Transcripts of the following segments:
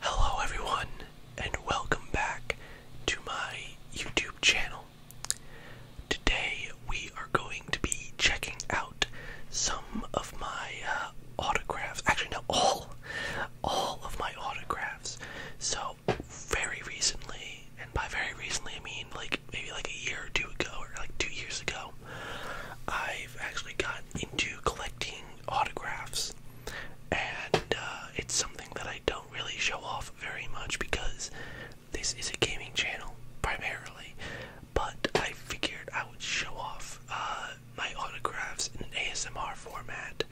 Hello, everyone, and welcome back to my YouTube channel. Today, we are going to be checking out some of my uh, autographs. Actually, no, all, all of my autographs. So, very recently, and by very recently I mean like maybe like a year or two ago, or like two years ago, I've actually gotten into collecting autographs, and uh, it's something that I don't really show off very much because this is a gaming channel primarily, but I figured I would show off uh, my autographs in an ASMR format.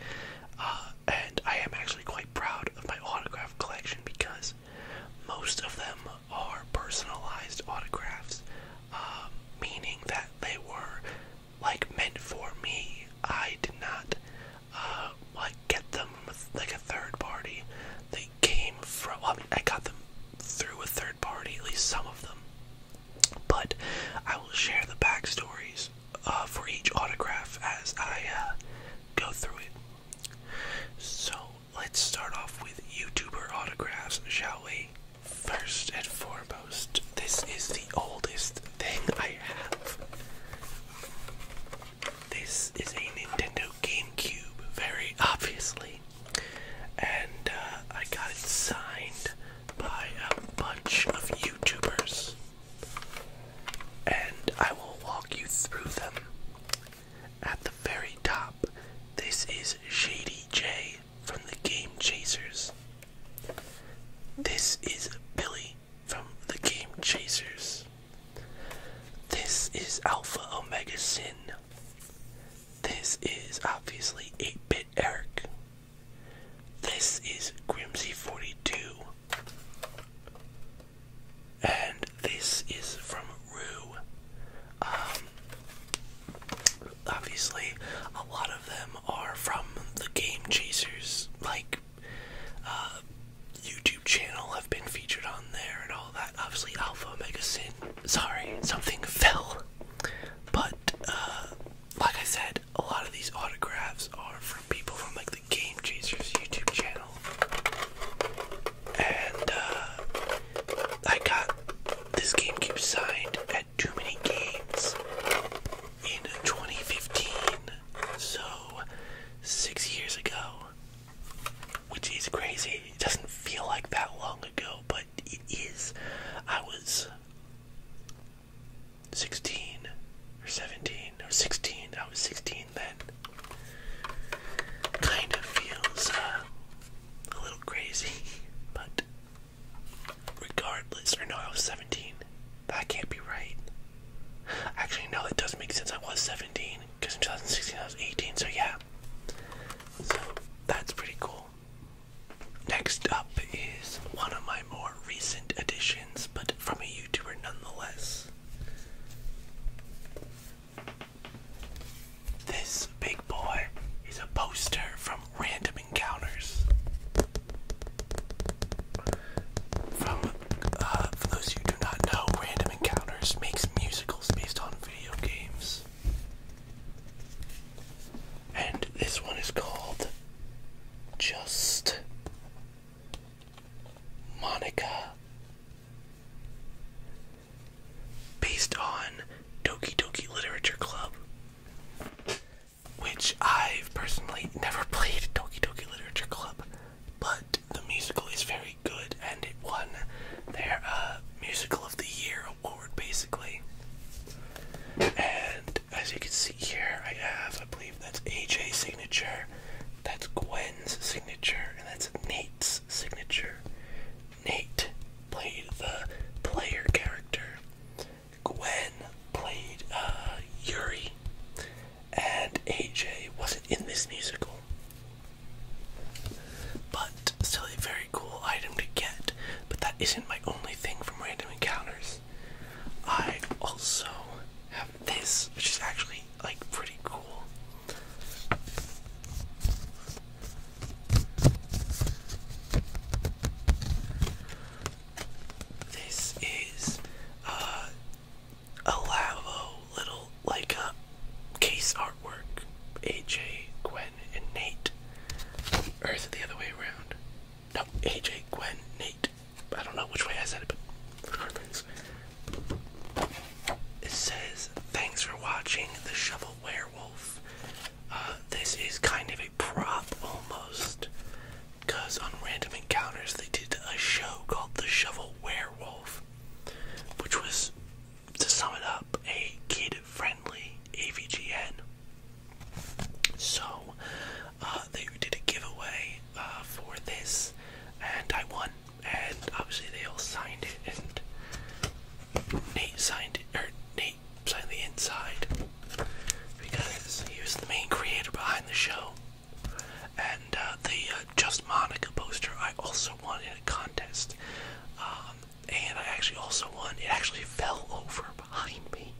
Uh, and I am actually quite proud of my autograph collection because most of them are personalized autographs, um, meaning that they were like meant for me. I did not uh, like get them with like a third party. They came from. Well, I got them through a third party, at least some of them. But I will share the backstories uh, for each autograph as I uh, go through it. So let's start off with YouTuber autographs, shall we? First and foremost, this is the oldest thing I have. This is a Nintendo GameCube, very obviously. And uh, I got it signed by a bunch of YouTubers and I will walk you through them. At the very top, this is Shady J from the Game Chasers. This is Billy from the Game Chasers. This is Alpha Omega Sin. This is obviously 8 Bit Eric. This is Grimzy 42 and this is from Rue. Um, obviously, a lot of them are from the Game Chasers, like, uh, YouTube channel have been featured on there and all that. Obviously, Alpha Omega Sin. Sorry, something fell. But, uh, like I said, a lot of these autographs are from people from like the Game Chasers YouTube channel. And uh, I got this GameCube signed at Too Many Games in 2015, so six years ago. Which is crazy. It doesn't feel like that long ago, but it is. I was 16 or 17 or 16. I was 16 then. Kind of feels uh, a little crazy, but regardless, or no, I was 17. That can't be right. Actually, no, that does make sense. I was 17 because in 2016 I was 18, so yeah. So that's pretty cool. Next up is one of my more recent additions, but from a YouTuber nonetheless. This big boy is a poster from Random Encounters. From, uh, for those who do not know, Random Encounters makes musicals based on video games. And this one is called Just Monica. Based on Toki Toki Literature Club, which I've personally never played Toki Toki Literature Club, but the musical is very good and it won their uh, Musical of the Year award basically. And as you can see here, I have, I believe that's AJ's signature, that's Gwen's signature, and that's Nate's signature. Nate played the player character. Gwen played uh, Yuri, and AJ wasn't in this musical. But still a very cool item to get. But that isn't my only thing from Random Encounters this. I also have this, which is actually like pretty cool. This is uh, a Lavo little like a uh, case artwork. AJ, Gwen, and Nate. Or is the other way around? No, AJ, Gwen, Nate. I don't know which way I said it, but regardless. It says, thanks for watching The Shovel Werewolf. Uh, this is kind of a prop almost, because on Random Encounters they did a show called The Shovel Werewolf, which was, to sum it up, a kid friendly AVGN. So, uh, they did a giveaway uh, for this, and I won. And obviously, they all signed it, and Nate signed it, or Nate signed the inside because he was the main creator behind the show. And uh, the Just Monica poster I also won in a contest, um, and I actually also won. It actually fell over behind me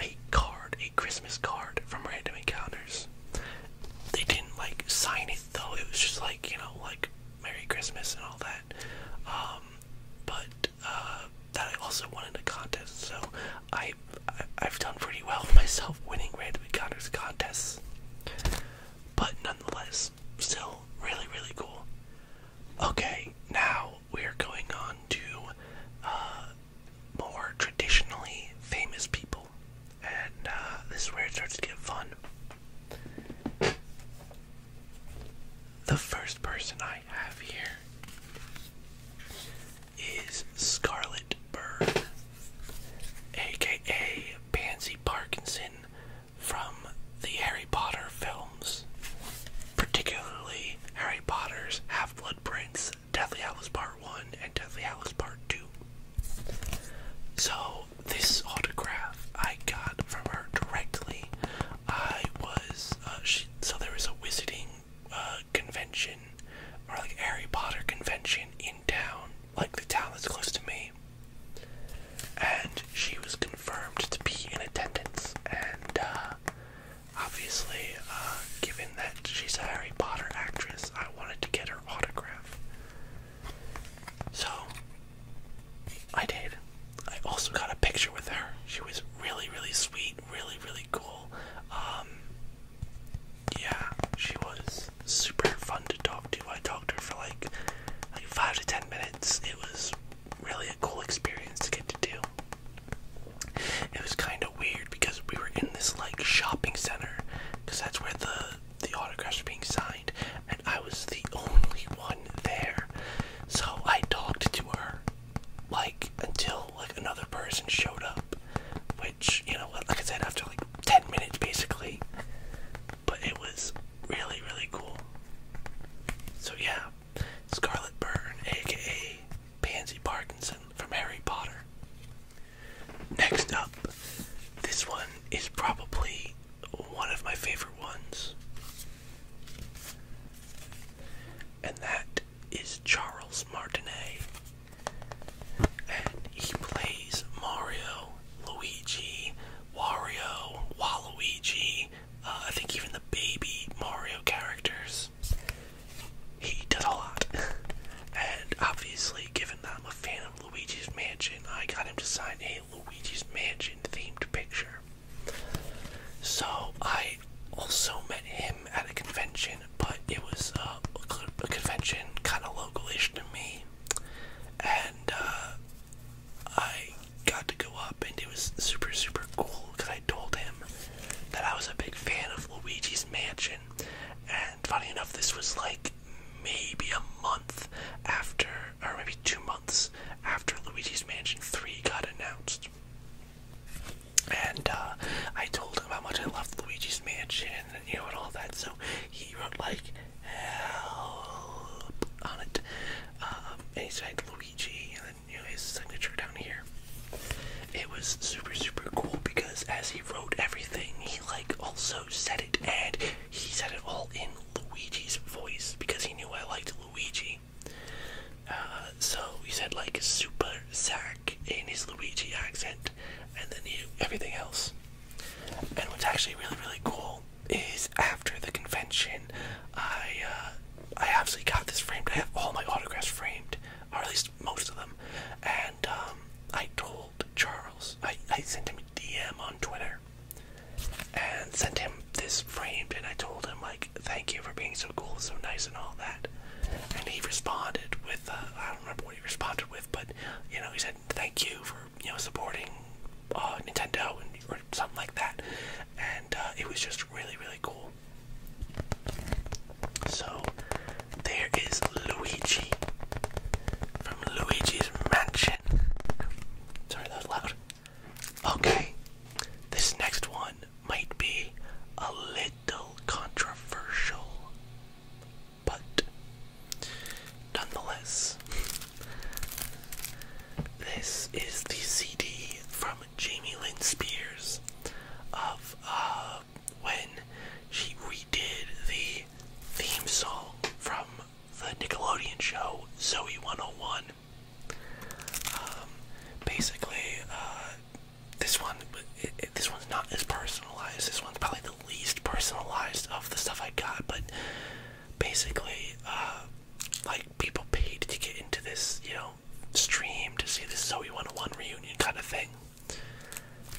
a card, a Christmas card from Random Encounters. They didn't like sign it though, it was just like, you know, like Merry Christmas and all that. Um, but uh, that I also won in a contest, so I, I, I've done pretty well for myself winning Random Encounters contests. But nonetheless, still really, really cool. Okay, now we're going on to uh, more traditionally famous people, and uh, this is where it starts to get fun. The first person I have here is Scarlet Bird, aka Pansy Parkinson from the Harry Potter film particularly Harry Potter's Half-Blood Prince, Deathly Hallows Part 1, and Deathly Hallows Part 2. So, this autograph I got from her directly. I was, uh, she, so there was a wizarding uh, convention, or like Harry Potter convention in town, like the town that's close to me. And she was confirmed to be in attendance, and uh, obviously, uh, given that she's a Harry Potter actress, I wanted to get her autograph. So, I did. I also got a picture with her. She was really, really sweet, really, really cool. Um, yeah, she was super fun to talk to. I talked to her for like, like five to ten minutes. It was really a cool experience to get to do. It was kind of weird because we were in this like shopping center because that's where the the autographs were being signed, and I was the only one there. So I talked to her like until like another person showed up, which you know, like I said, after like ten minutes basically. But it was really really cool. So yeah, Scarlet Burn, aka Pansy Parkinson from Harry Potter. Next up, this one is probably one of my favorite ones. And that is Charles Martinet. And he plays Mario, Luigi, Wario, Waluigi, uh, I think even the baby Mario characters. He does a lot. and obviously, given that I'm a fan of Luigi's Mansion, I got him to sign a Luigi's Mansion themed picture. So I also met him at a convention, but it was uh, a convention kind of localish to me. And uh, I got to go up, and it was super, super cool because I told him that I was a big fan of Luigi's Mansion. And funny enough, this was like maybe a month after, or maybe two months after Luigi's Mansion 3 got announced. And uh, I told him how much I loved Luigi's Mansion, and you know, and all that. So he wrote like help on it. Uh, um, he signed Luigi, and then his signature down here. It was super super cool because as he wrote everything, he like also said it, and he said it all in Luigi's voice because he knew I liked Luigi. Uh, so he said like super Zack in his Luigi accent, and then he, everything else. And what's actually really really cool is after the convention, I uh, I actually got this framed. I have all my autographs framed, or at least most of them. And um, I told Charles, I, I sent him a DM on Twitter, and sent him this framed. And I told him like, thank you for being so cool, so nice, and all that. And he responded with, uh, I don't remember what he responded with, but you know, he said thank you for you know supporting uh, Nintendo and something like that, and uh, it was just really really cool. So there is Luigi from Luigi's Mansion. Sorry, that was loud. Okay, this next one might be a little controversial, but Nonetheless, this is the CD from Jamie Lynn Spears of uh, when she redid the theme song from the Nickelodeon show Zoe 101. Um, basically, uh, this one, this one's not as personalized. This one's probably the least personalized of the stuff I got, but basically, uh, like people paid to get into this, you know, stream to see this Zoe 101 reunion kind of thing.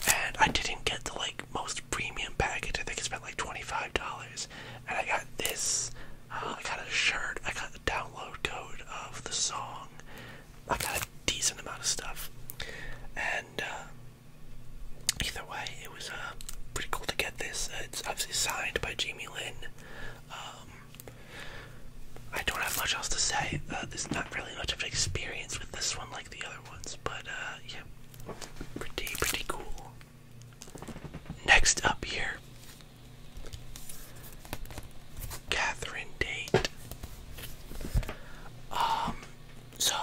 And I didn't get the like most premium package. I think I spent like $25. And I got this. Uh, I got a shirt. I got the download code of the song. I got a decent amount of stuff. And uh, Either way, it was uh, pretty cool to get this. Uh, it's obviously signed by Jamie Lynn. Um, I don't have much else to say. Uh, there's not really much of an experience with this one like the other ones, but yeah, pretty, pretty cool. Next up here, Catherine Date. Um, so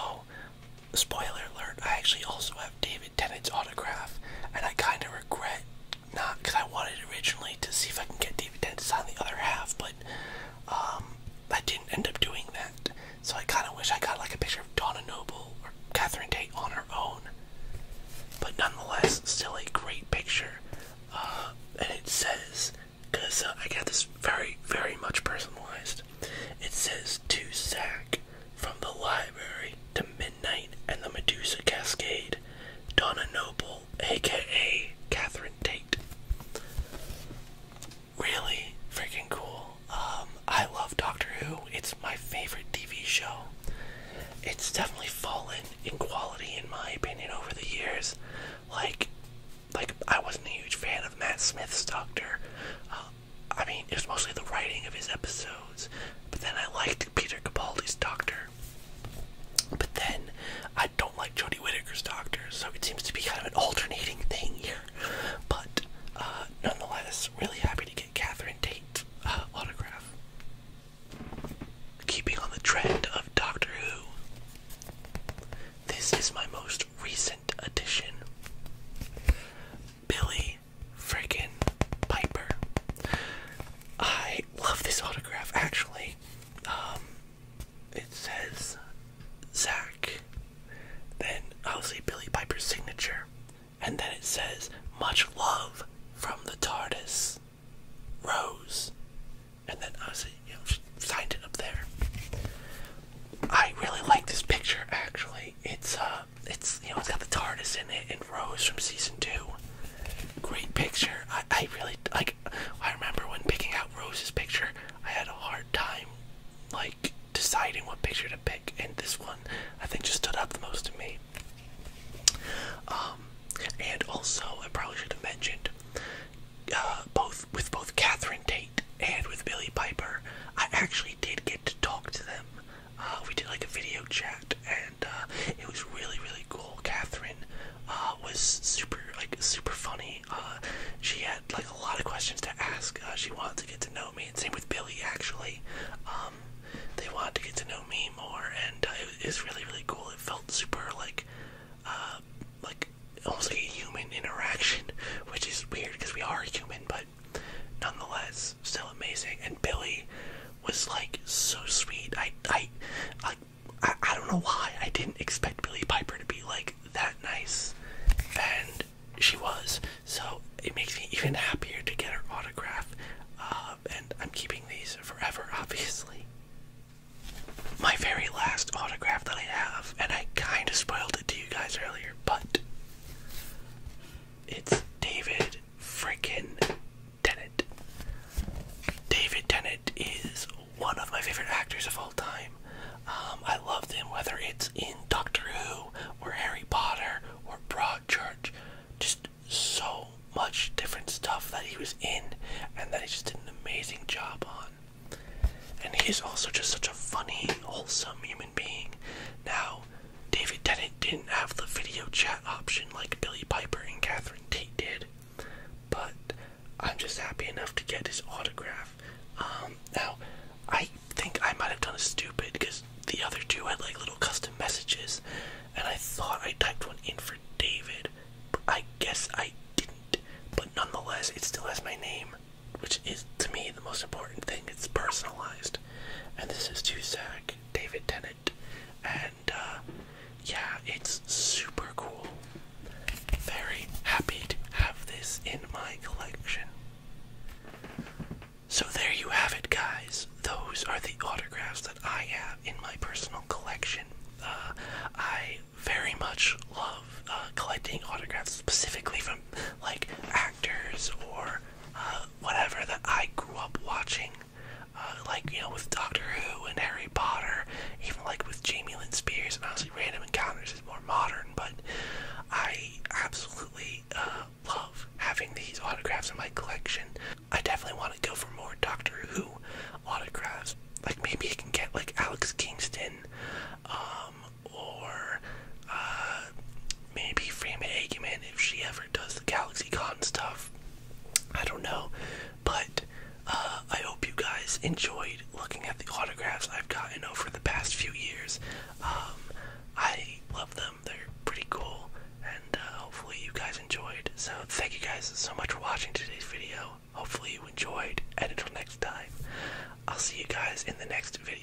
spoiler alert, I actually also have David Tennant's autograph, and I kind of regret not because I wanted originally to see if I can get David Tennant to sign the other half, but um, I didn't end up doing that. So I kind of wish I got like a picture of Donna Noble or Catherine Tate on her own, but nonetheless, still a great picture. Uh, and it says, because uh, I got this very, very much personalized, it says to Zach from the library to midnight and the Medusa Cascade, Donna Noble, aka Catherine Tate. Really freaking cool. Um, I love Doctor Who. It's my favorite TV show. It's definitely fallen in quality, in my opinion, over the years. Like, like I wasn't a huge fan of Matt Smith's Doctor. Um, I mean, it was mostly the writing of his episodes, but then I liked Peter Capaldi's Doctor. But then I don't like Jodie Whittaker's Doctor, so it seems to be kind of an alternating thing here. But uh, nonetheless, really happy to get Catherine Tate uh, autograph. Keeping on the trend of Doctor Who, this is my most recent addition. Billy Frickin' Piper. I love this autograph actually. Um, it says Zach, then I'll say Billy Piper's signature, and then it says much love from the TARDIS, Rose, and then I'll say you know, signed it up there. I really like this picture actually. It's uh it's you know it's got the TARDIS in it and Rose from season two. Great picture. I, I really like I remember when picking out Rose's picture I had a hard time like deciding what picture to pick and this one I think just stood out the most to me. Um and also I probably should have mentioned uh, both with both Catherine Tate and with Billy Piper, I actually did get to talk to them. Uh, we did like a video chat, and uh, it was really really cool. Catherine was super like super funny. she had like a lot of questions to ask. she wanted to get to know me, and same with Billy actually. Um, they wanted to get to know me more, and it was really really cool. It felt super like. Uh, like almost like a human interaction, which is weird because we are human, but nonetheless, still amazing. And Billy was like so sweet. I I I, I don't know why I didn't expect Billy Piper to be like that nice, and she was. So it makes me even happier to get her autograph. Uh, and I'm keeping these forever, obviously. My very last autograph that I have, and I kind of spoiled it to you guys earlier, but it's David freaking Tennant. David Tennant is one of my favorite actors of all time. Um, I loved him, whether it's in Doctor Who or Harry Potter or Broadchurch. Just so much different stuff that he was in and that he just did an amazing job on. And he's also just such a funny, wholesome human being. Now, David Tennant didn't have the video chat option like Billy Piper and Catherine Tate did, but I'm just happy enough to get his autograph. Um, now, I think I might have done a stupid because the other two had like little custom messages, and I thought I typed one in for David, but I guess I didn't. But nonetheless, it still has my name which is to me the most important thing. It's personalized, and this is to Zach David Tennant, and uh, yeah, it's super cool. Very happy to have this in my collection. So there you have it, guys. Those are the autographs that I have in my personal collection. Uh, I very much love uh, collecting autographs specifically from like actors or uh, whatever that I grew up watching. Uh, like, you know, with Doctor Who and Harry Potter, even like with Jamie Lynn Spears, and obviously Random Encounters is more modern, but I absolutely uh, love having these autographs in my collection. I definitely want to go for more Doctor Who autographs like maybe you can get like Alex Kingston, um, or uh, maybe Freeman Aikman if she ever does the Galaxy Con stuff. I don't know, but uh, I hope you guys enjoyed looking at the autographs I've gotten over the past few years. Um, I love them; they're pretty cool, and uh, hopefully you guys enjoyed. So thank you guys so much for watching today's video. Hopefully you enjoyed, and until next time, I'll see you guys in the next video.